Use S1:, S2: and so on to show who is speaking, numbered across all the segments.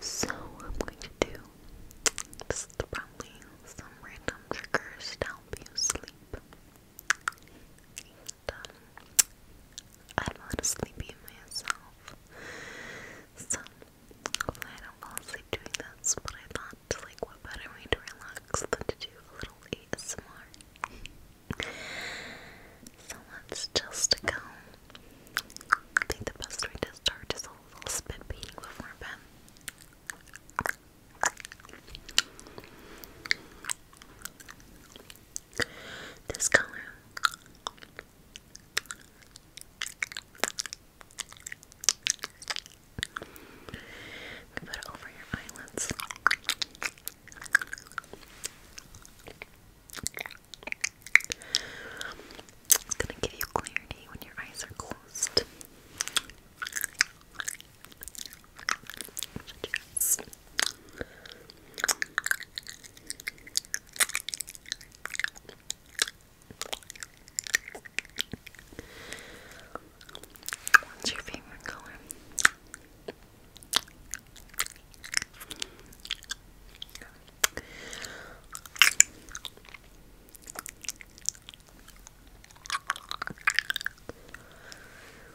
S1: So I'm going to do probably some random triggers to sleep. I'm um, a little sleepy myself, so hopefully I don't fall asleep doing this. But I thought, like, what better way to relax than to do a little ASMR? So much just to I think the best way to start is a little spit beating before bed. This color we put it over your eyelids. It's gonna give you clarity when your eyes are closed. What's your favorite color?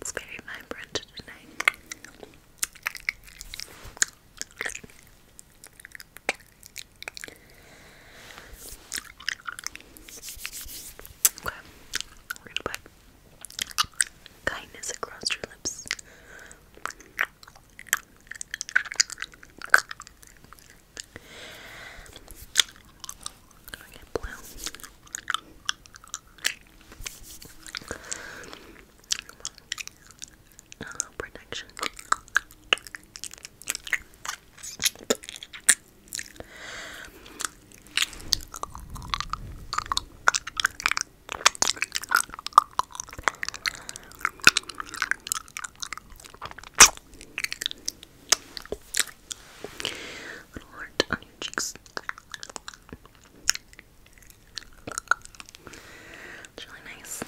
S1: It's very vibrant tonight. Okay, we're going kindness across your lips. Going get blue. Uh, protection. Little heart on your cheeks. It's really nice.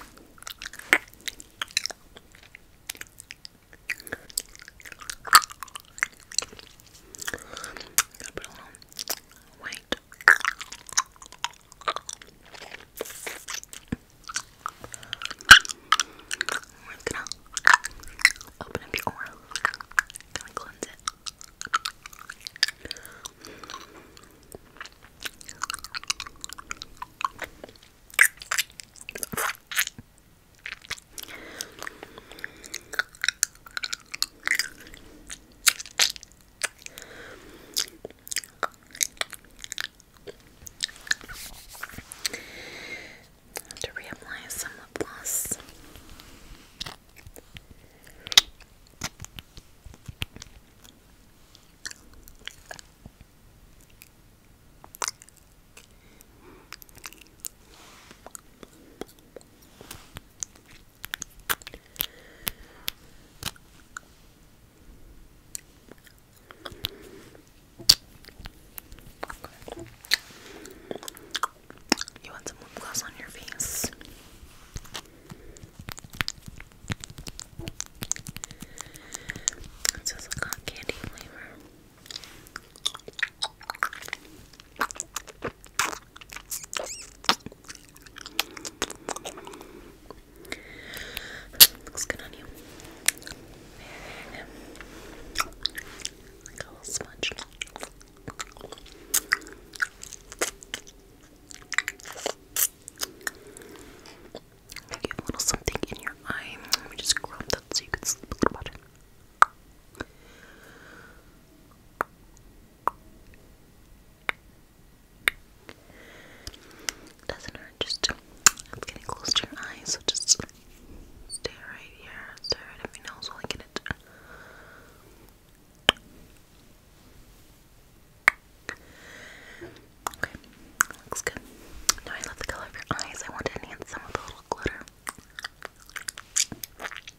S1: Gotta put a little white we're just gonna open up your aura, kind of cleanse it. Have to reapply some lip gloss. You want some lip gloss on your face? It says a candy flavor. Looks good on you. There. a little smudge. You have a little something in your eye. just grab that so you can sleep a little better. Doesn't hurt, just it's getting close to your eyes, so just stay right here, stay right at my nose while I get it. Okay, looks good. Now I love the color of your eyes. I want to enhance some of the little glitter.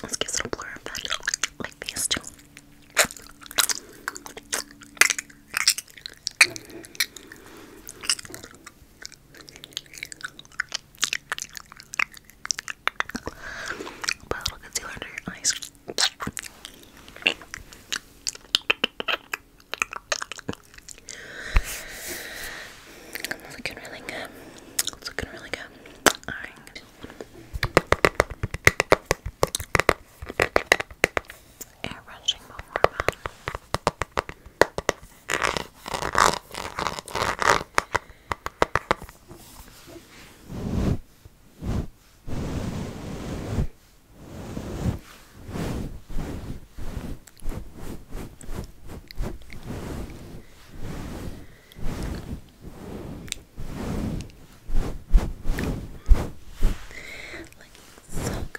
S1: Let's get a little blur of that, like these two. Put a little concealer under your eyes. It's looking really good. It's looking really good. Alright. Air brushing Looking so good.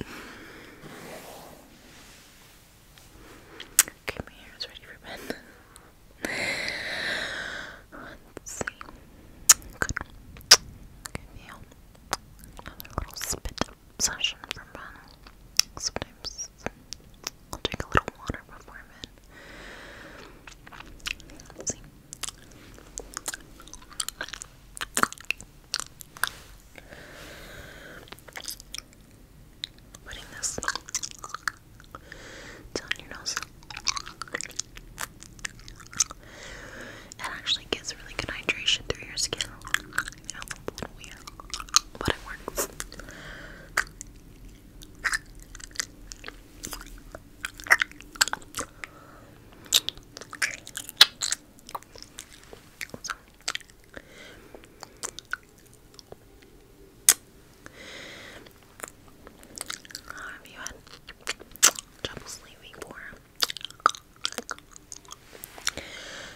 S1: Okay, my hair ready for bed. see. Good. Give you another little spit session from Ben. Sometimes I'll drink a little water before bed. see. Putting this down your nose. It actually gets really good hydration through your skin. but it works. So. How have you had trouble sleeping before?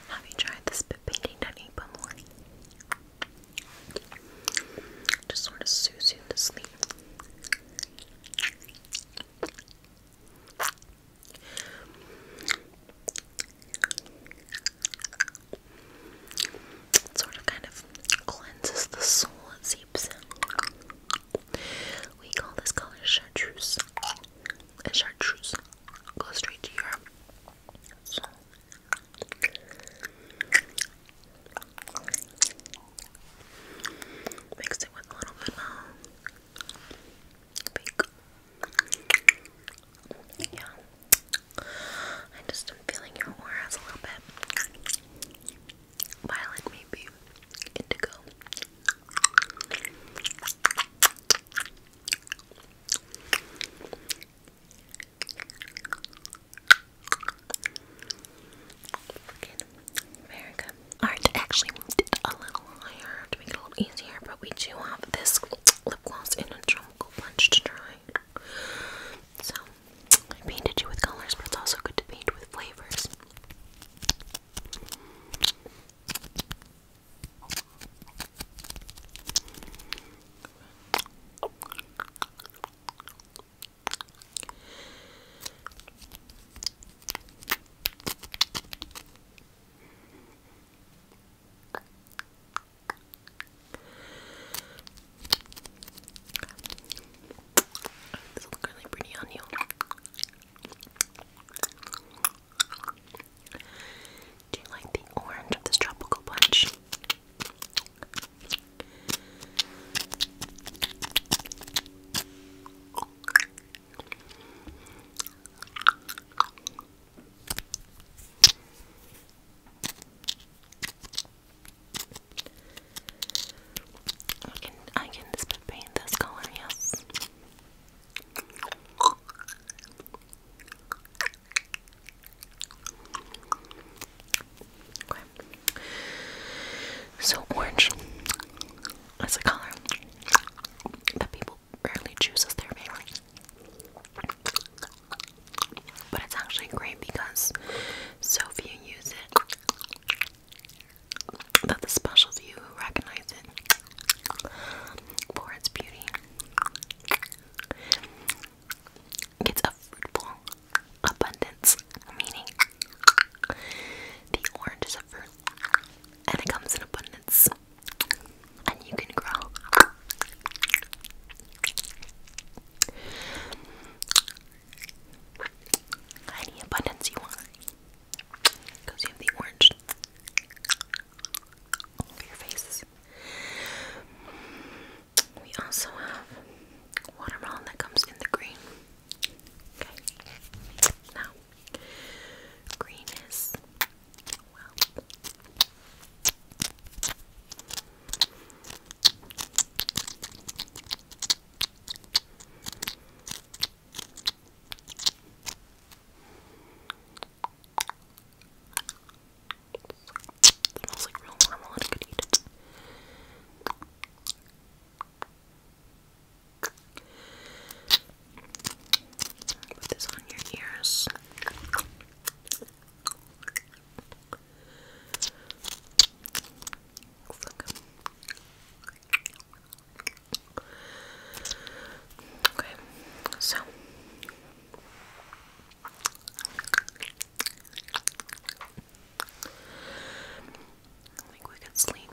S1: Have you tried the spit painting technique before? Just sort of soothes you to sleep. It sort of kind of cleanses the soul, it seeps in. We call this color chartreuse. chartreuse goes straight to your soul. Mix it with a little vanilla. Yeah. I just am feeling your auras a little bit. Violet, maybe. Indigo. Very good. Alright, actually moved a little higher to make it a little easier, but we do have this lip gloss in a tropical punch to try. So, I painted you with colors, but it's also good to paint with flavors. This looks really pretty on you. Do you like the orange of this tropical punch? I can I can spit paint this color, yes. Okay. So orange. It's a color that people rarely choose as their favorite. But it's actually great because so few use it that the special few who recognize it for its beauty gets a fruitful abundance meaning. The orange is a fruit and it comes in abundance, and you can grow. Any abundance you want, because you have the orange all over your face. We also have watermelon that comes in the green. Okay, now Green is smells like real marmalade. I could eat it. Put this on your ears. Okay, so I think we could sleep.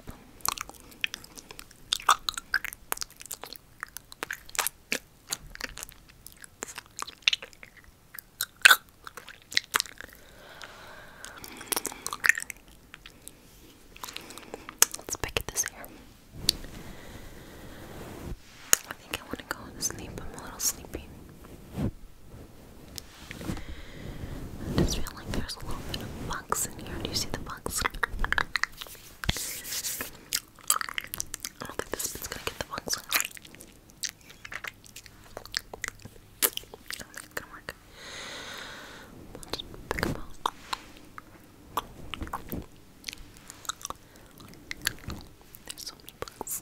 S1: Let's pick at this hair. I think I want to go to sleep. I'm a little sleepy. I just feel like there's a little bit of bugs in here. Do you see the bugs? I don't think this bit's gonna get the bugs. I don't think it's gonna work. There's so many bugs.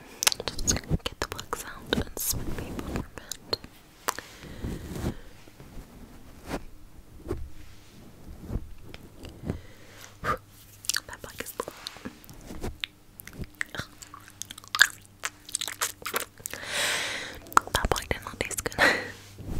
S1: Just get the plugs out and spin paper for mint. That bug is That bug did not taste good.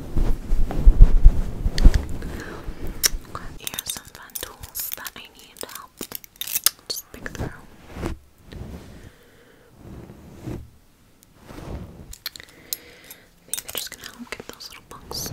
S1: Here are some fun tools that I need to help just just gonna help get those little bunks.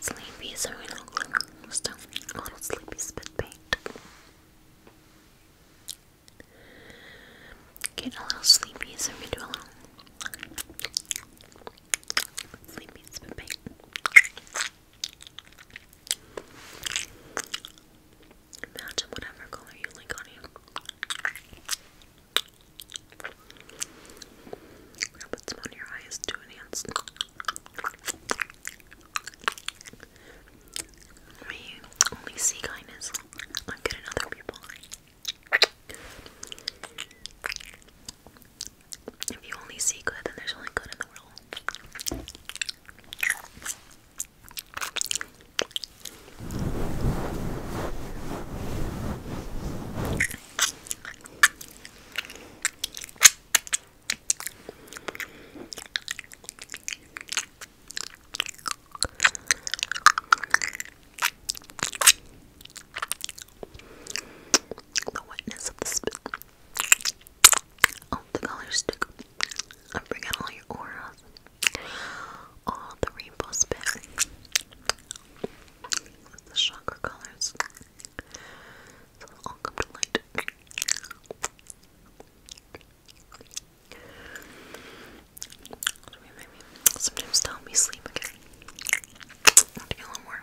S1: Sleepy, so we don't stuff. A little sleepy spit paint. Get a little sleepy, so we do a little sleepy spit paint. Imagine whatever color you like on you put some on your eyes to enhance. We only see kindness not good in other people. If you only see good, then there's only good in the world. The wetness of the spit. Oh, the color stick. I'm bringing all your aura. All the rainbow spit. The chakra colors. all come to light. Sometimes to help me sleep again. I a little more.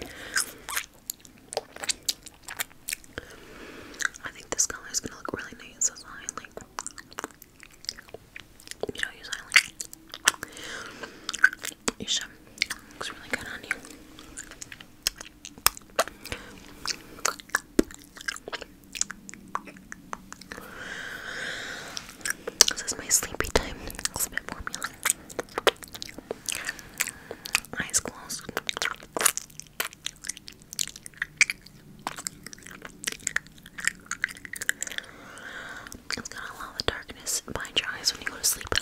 S1: I think this color is gonna look really nice I like you know use highlight. You looks really good on you. This is my sleepy time. It's formula. Eyes closed. It's gonna allow the darkness behind your eyes when you go to sleep.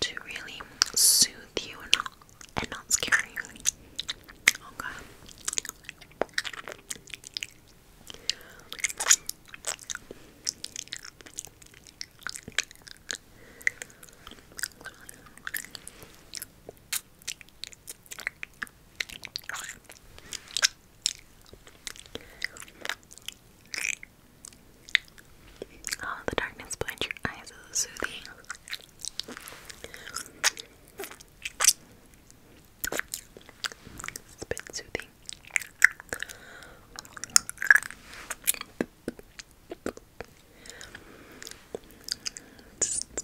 S1: To really soothe you and not, and not scare you. Okay. Oh, the darkness behind your eyes is soothing. It's a bit soothing.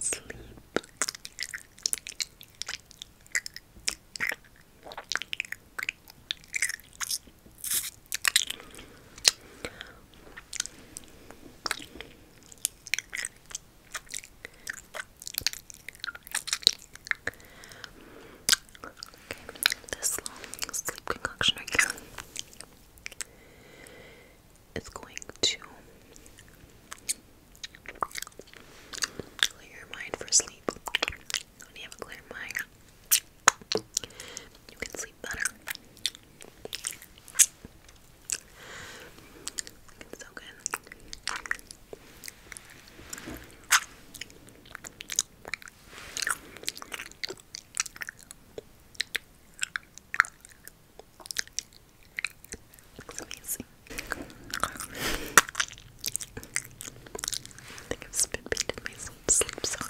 S1: Sleep this long sleep concoction right here is going to clear your mind for sleep. When you have a clear mind, you can sleep better. It's so good. amazing. I think I've spit painted myself sleep, sorry.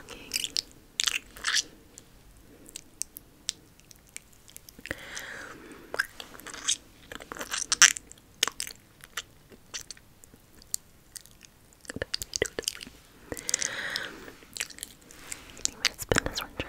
S1: Okay. Anyway, it's been this one try,